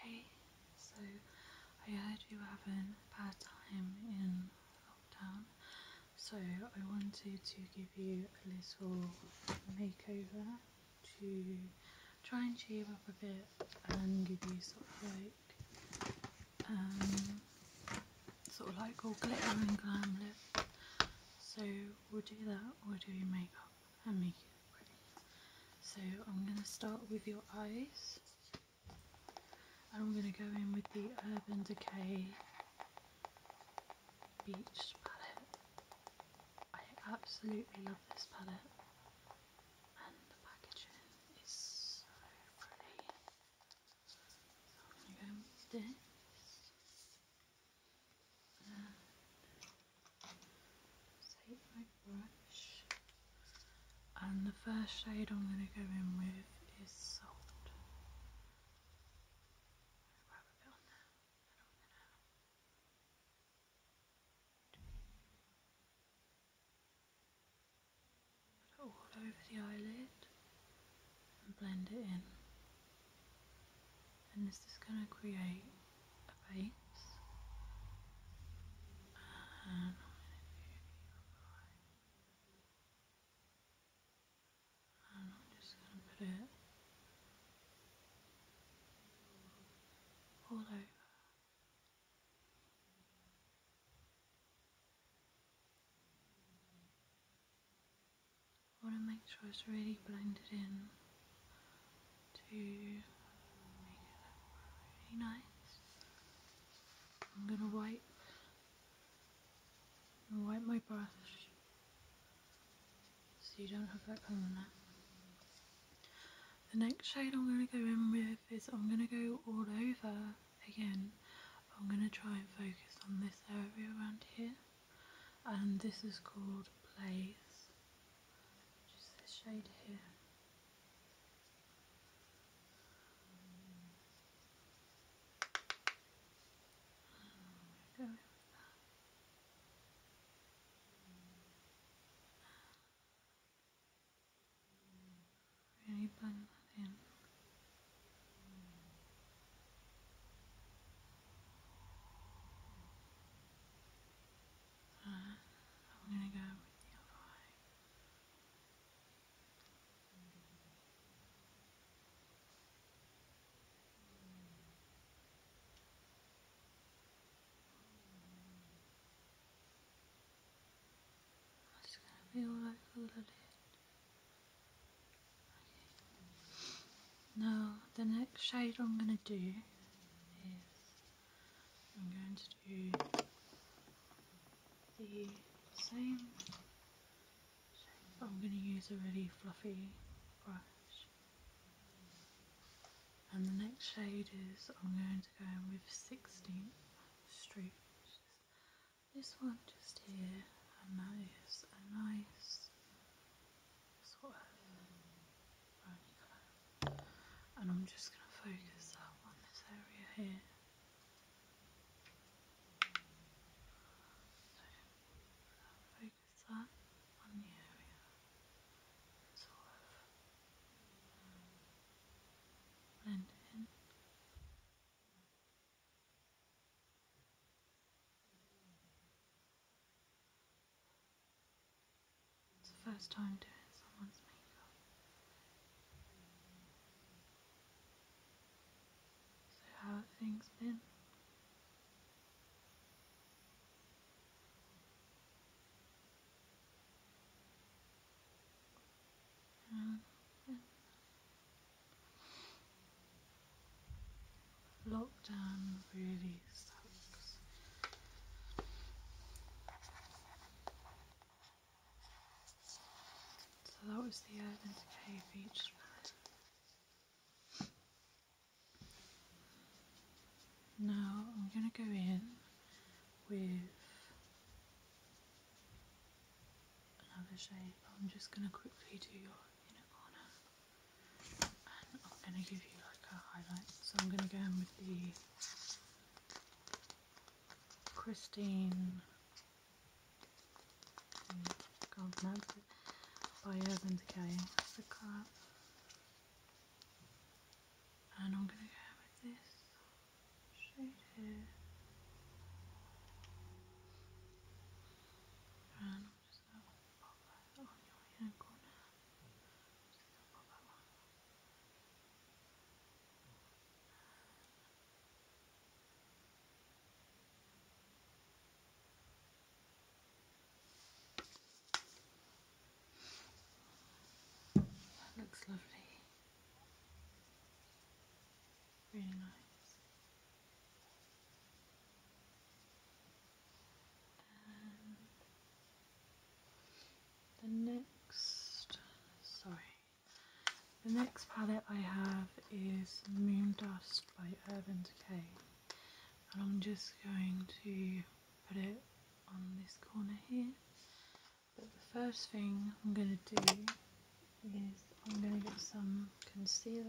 Hey, so I heard you were having a bad time in lockdown, so I wanted to give you a little makeover to try and cheer you up a bit and give you sort of like, um, sort of like all glitter and glam look. So we'll do that, we'll do your makeup and make it pretty. So I'm going to start with your eyes and I'm going to go in with the Urban Decay Beach palette. I absolutely love this palette and the packaging is so pretty. So i going to go this take my brush and the first shade I'm going to go in with is Salt. Rub a bit on there and on there now. Put it all over the eyelid and blend it in and this is going to create a base and I'm just going to put it all over I want to make sure it's really blended in to nice. I'm gonna wipe wipe my brush so you don't have that there. The next shade I'm gonna go in with is I'm gonna go all over again. I'm gonna try and focus on this area around here and this is called Blaze just this shade here. Go with that. Really blend that in. I'm gonna go with the other eye. It's gonna be all over the lid. Okay. Now the next shade I'm going to do is I'm going to do the same shape I'm going to use a really fluffy brush and the next shade is I'm going to go in with 16 Street this one just here and that is a nice sort of browny And I'm just going to focus up on this area here. So, focus that on the area. Sort of blend in. It's the first time doing someone's makeup. So how have things been? Uh, Lockdown really sucks. So that was the Erdent Cave Beach Now I'm going to go in with another shape. I'm just going to quickly do your inner corner. I'm going to give you like a highlight. So I'm going to go in with the Christine I can by Urban Decay. And I'm going to go with this shade here. And I'm so pop that on your right hand corner. Just gonna pop that one. That looks lovely. Really nice. Um, the next, sorry, the next palette I have is Moon Dust by Urban Decay, and I'm just going to put it on this corner here. But the first thing I'm going to do is I'm going to get some concealer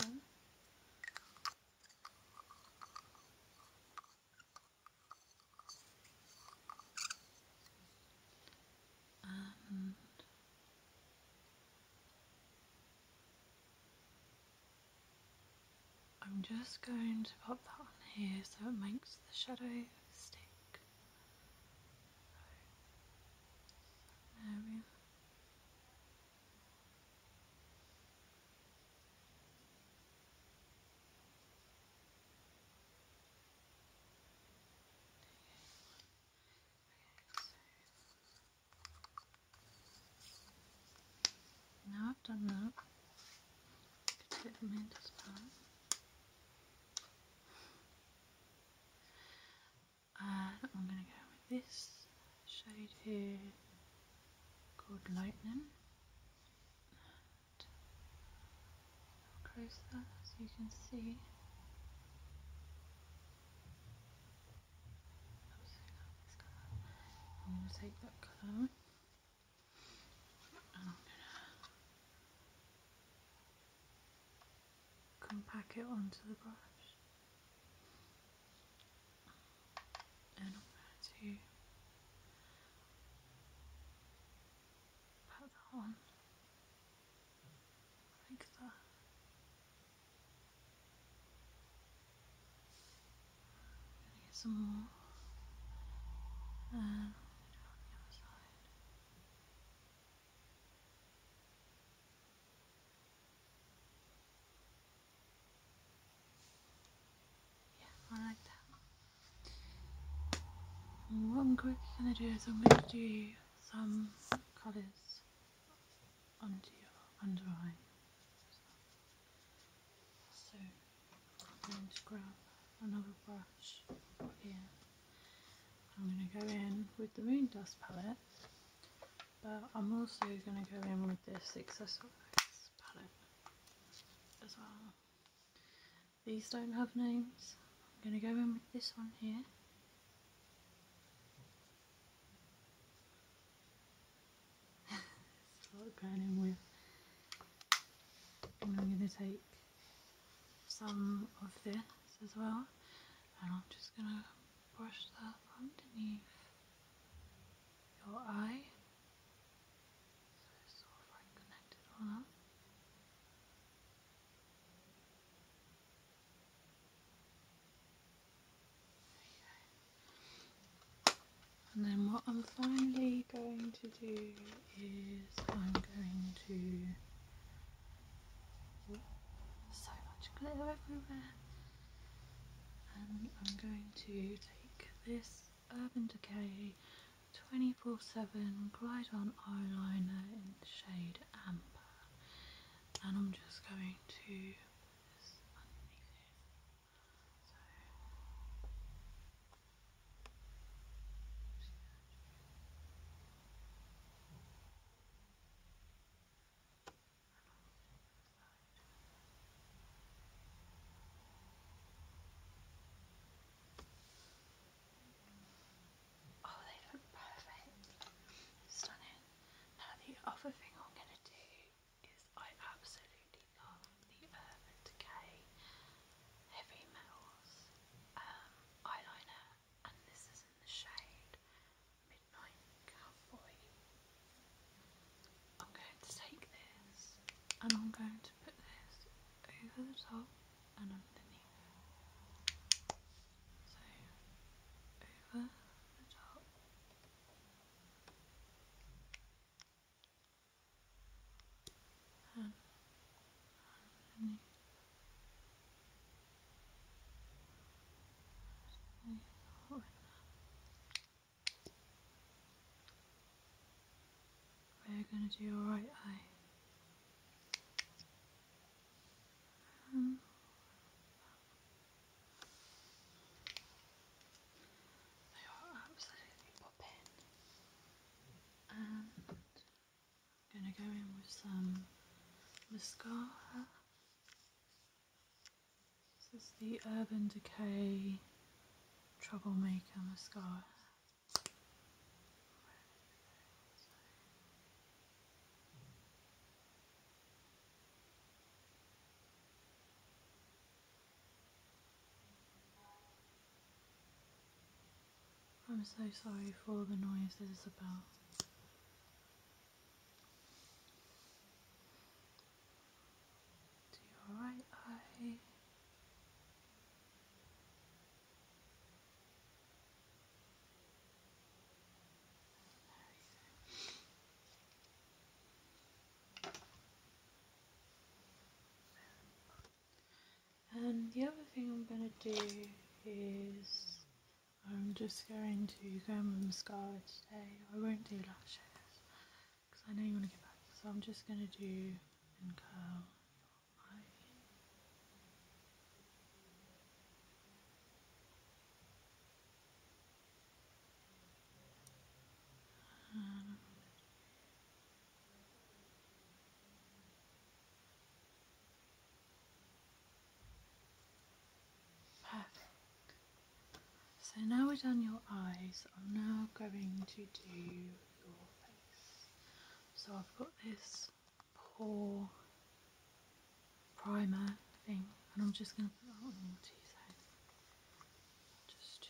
um, I'm just going to pop that on here so it makes the shadow stick. There we now i done that, uh, I could get Amanda's done. Uh, I'm going to go this shade here called Lightning. And closer so you can see. I'm going to take that colour and I'm going to compact it onto the brush. No, not there too. Put that on. Like that. Get some more. And on the other side. Yeah, I like that. what I'm quickly going to do is I'm going to do some colours under your under eye. So I'm going to grab another brush here. I'm going to go in with the Moon Dust palette but I'm also going to go in with this accessorize palette as well. These don't have names. I'm going to go in with this one here. I'm going to take some of this as well and I'm just going to brush that underneath your eye so it's sort connected on up. And then what I'm finally going to do is I'm going to so much glitter everywhere and I'm going to take this Urban Decay 24-7 Glide On Eyeliner in shade Amber and I'm just going to Oh, they look perfect. Stunning. Now the other thing I'm gonna do is I absolutely love the Urban Decay Heavy Metals um, eyeliner and this is in the shade Midnight Cowboy. I'm going to take this and I'm going to put this over the top and underneath. So, over the top. And underneath. We're going to do your right eye. they are absolutely popping. And I'm going to go in with some mascara. This is the Urban Decay Troublemaker Mascara. I'm so sorry for the noise. noises about to your right eye. And the other thing I'm going to do is I'm just going to go in mascara today. I won't do lashes because I know you want to get back. So I'm just going to do and curl Perfect. So now we're done your eyes, I'm now going to do your face. So I've got this pore primer thing and I'm just going to put that on your side, just to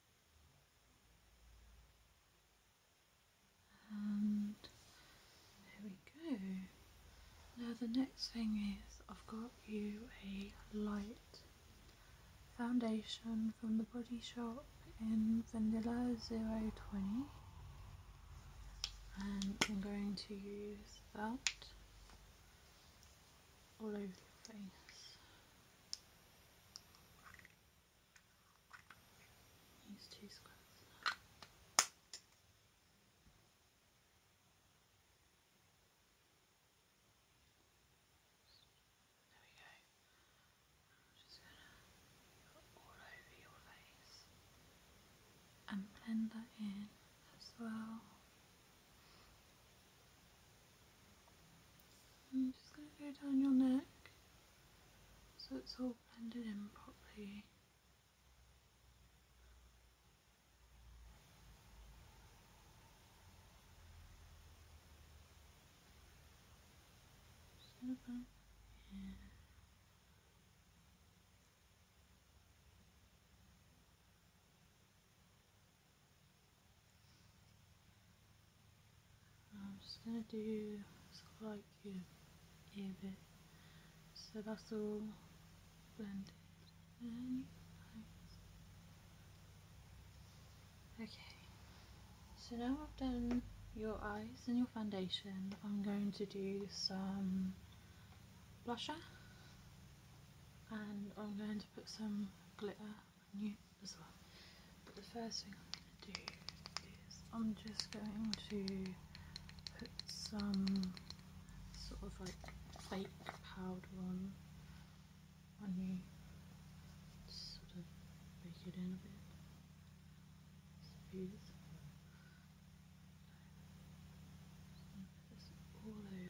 And there we go. Now the next thing is I've got you a light foundation from the Body Shop in Vanilla 020 and I'm going to use that all over the face. Use two squares. There we go. I'm just gonna put all over your face and blend that in as well. I'm just going to go down your neck so it's all blended in properly. Just going I'm just going to do sort of like your bit. So that's all blended. And Okay, so now I've done your eyes and your foundation, I'm going to do some blusher and I'm going to put some glitter new as well. But the first thing I'm going to do is I'm just going to put some sort of like fake powder on on you. sort of bake it in a bit. Smooth. So all over.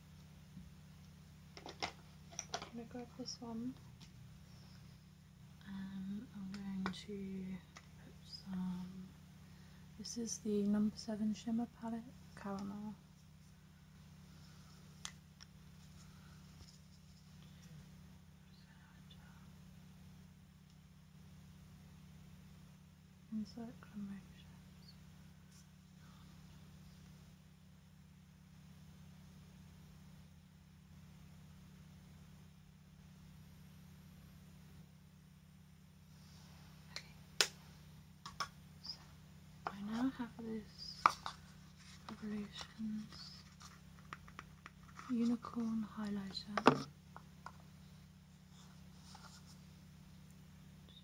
Um, I'm going to grab this one and I'm going to this is the number 7 shimmer palette, caramel. Insert Okay. So I now have this Revolutions Unicorn Highlighter. So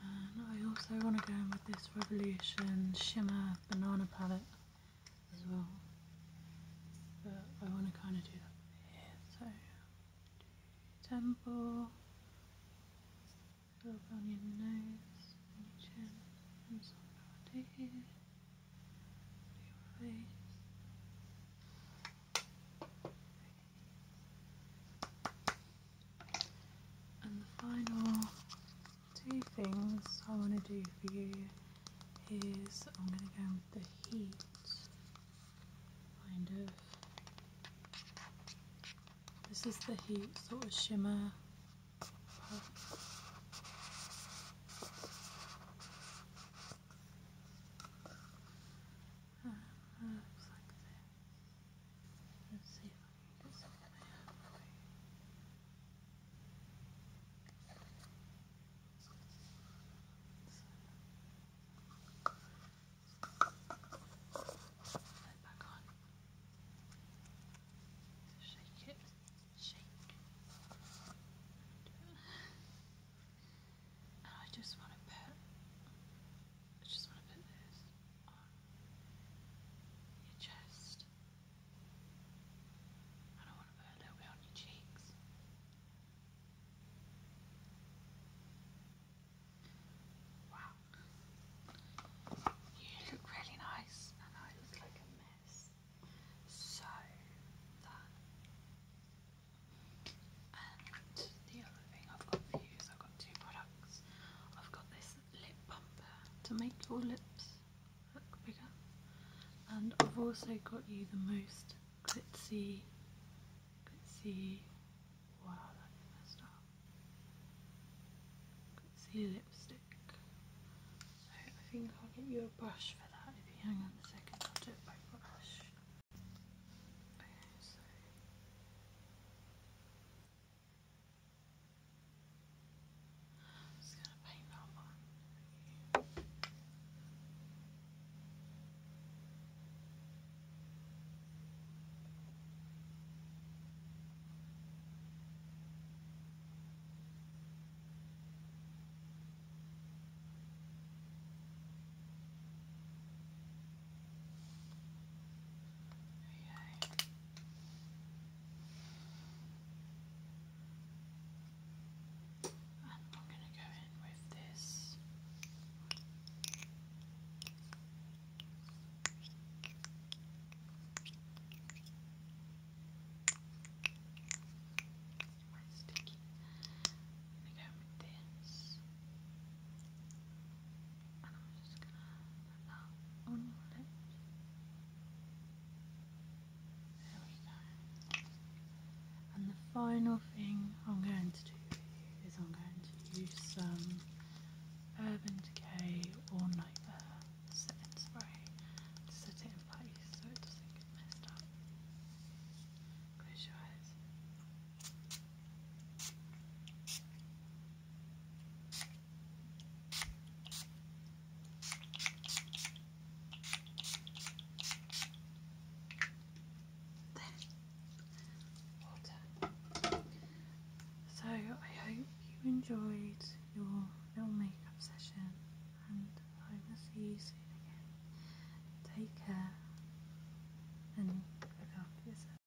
And I also want to go in with this Revolution Shimmer Banana Palette as well. But I want to kind of do that here. So, temple, up on your nose, chin, and some part here, your face. And the final two things I want to do for you is I'm going to go with the heat, kind of. This is the heat sort of shimmer. Uh, uh, Let's see back on. Shake it. Shake. And I just want to put I just want to put this on your chest. And I want to put a little bit on your cheeks. Wow. You look really nice and I look like a mess. So that and the other thing I've got for you is I've got two products. I've got this lip bumper to make your lips look bigger. And I've also got you the most glitzy, glitzy, wow that's messed up, glitzy lipstick. So I think I'll get you a brush for that if you hang on a second, I'll do it by brush. I'm just gonna paint that one. Okay. And I'm going to go in with this. Quite sticky. I'm going to go with this. And I'm just going to on your lips. And the final thing I'm going to do is I'm going to use some Urban Decay or Nightmare setting spray to set it in place so it doesn't get messed up. Close your eyes. So I hope you enjoyed your little makeup session and I will see you soon again. Take care and look after yourself.